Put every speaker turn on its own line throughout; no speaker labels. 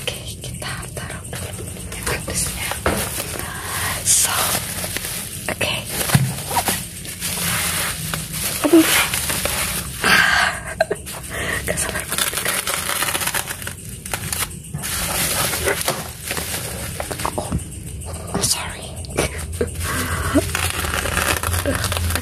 Okay, kita taruh dulu yang So, okay. I'm sorry.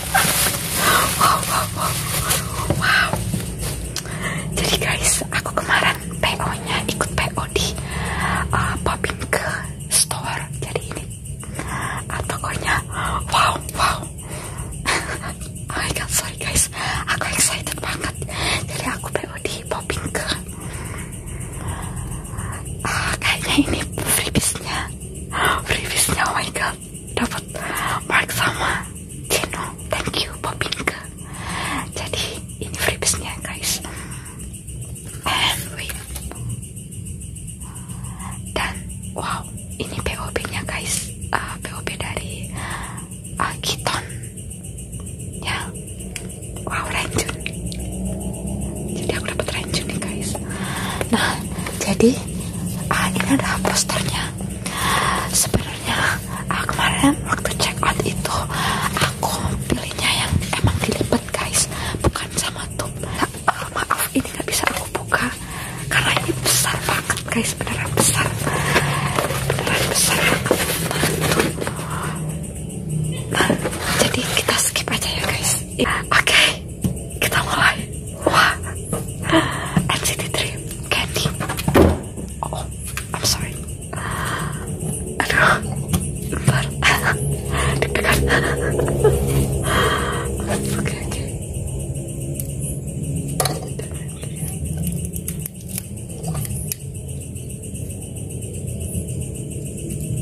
wow, wow, wow, wow. Jadi guys, aku kemarin PO-nya ikut PO di popping uh, ke store. Jadi ini uh, tokonya. Wow, wow. oh my god, sorry guys. Aku excited banget. Jadi aku PO di popping ke. Uh, kayaknya ini freebiesnya. Freebiesnya, oh my god dapat mark sama Cino thank you Popinka jadi ini freebiesnya guys and wait dan wow ini POB nya guys uh, dari uh, ah, Kiton ya wow ranjun jadi aku dapat ranjun nih guys nah jadi ah, ini ada posternya sebenarnya ah, kemarin waktu check out itu aku pilihnya yang emang dilipat guys bukan sama tuh nah, ah, maaf ini nggak bisa aku buka karena ini besar banget guys beneran besar beneran besar nah, jadi kita skip aja ya guys oke kita mulai wah NCT 3 Candy oh I'm sorry aduh bentar deg oke oke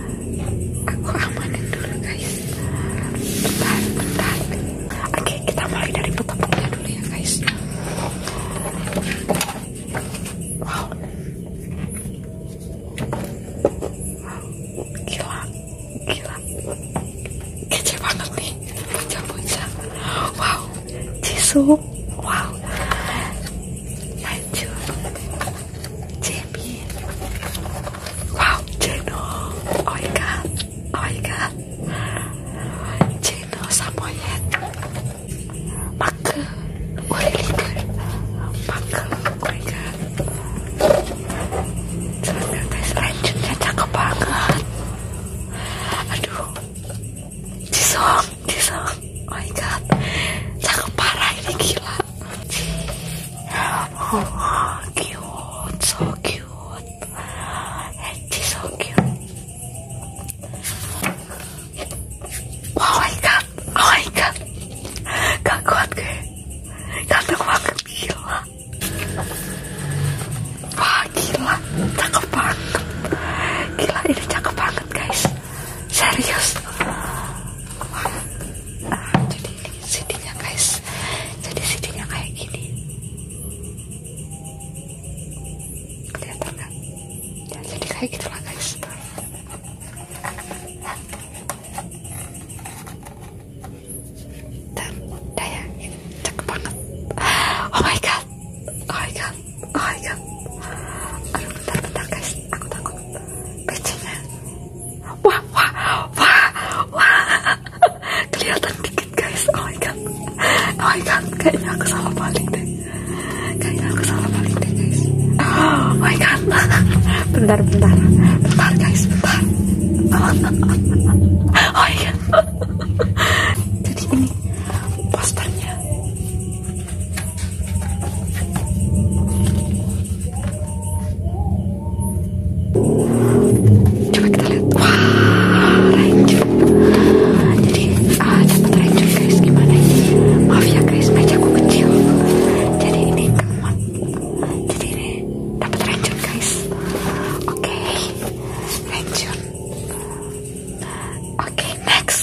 aku amanin dulu guys bentar bentar oke kita mulai dari petepungnya dulu ya guys wow gila gila kece banget nih bocah-bocah wow jisoo wow lanjut Jamie. Wow, Jeno. Oh my god. Oh my god. Jeno Samoyed. Maka. Oh cakep banget. Aduh. This oh my god Cakep parah ini gila Oh cute So cute cute oh my god oh my god banget gila Cakep banget Gila ini cakep banget guys serius nah jadi ini sidinya guys jadi sidinya kayak gini kelihatan nggak ya jadi kayak gitulah guys dan daya banget oh my god kan oh my god oh my aduh bentar bentar guys aku takut pecinya wah wah wah wah kelihatan dikit guys oh my oh my kayaknya aku salah balik deh kayaknya aku salah balik deh guys oh my god bentar bentar bentar guys bentar oh my jadi ini posternya Coba kita lihat. Wah, ranjut. Jadi ah, dapat ranjut guys. Gimana Maaf ya guys, mejaku kecil. Jadi ini teman. Jadi ini dapat ranjut guys. Oke, okay. Oke, next.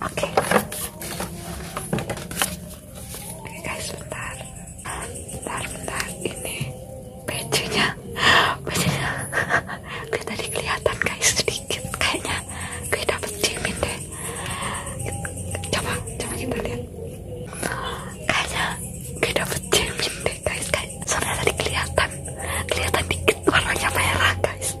Oke. Oke guys, bentar. Bentar, bentar. Ini pecinya. Pecinya. Gue tadi kelihatan guys sedikit kayaknya. Gue dapet cimin deh. Coba, coba kita lihat. Kayaknya gue dapet cimin deh guys. Kayak soalnya tadi kelihatan. Kelihatan dikit warnanya merah guys.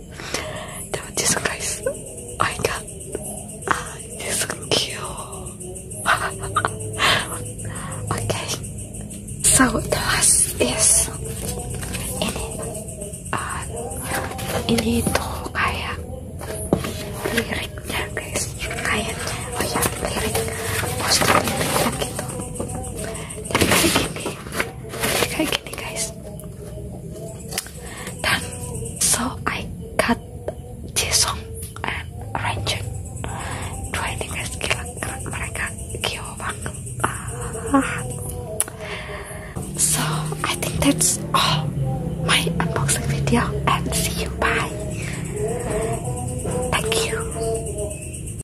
Now this guy's I got ah this cute. okay. So the last is ini ah, ini tuh kayak liriknya guys kayaknya oh ya lirik poster lirik gitu jadi so I cut song and Ranjun dua ini guys gila keren mereka kio banget so I think that's all my unboxing video and see you bye thank you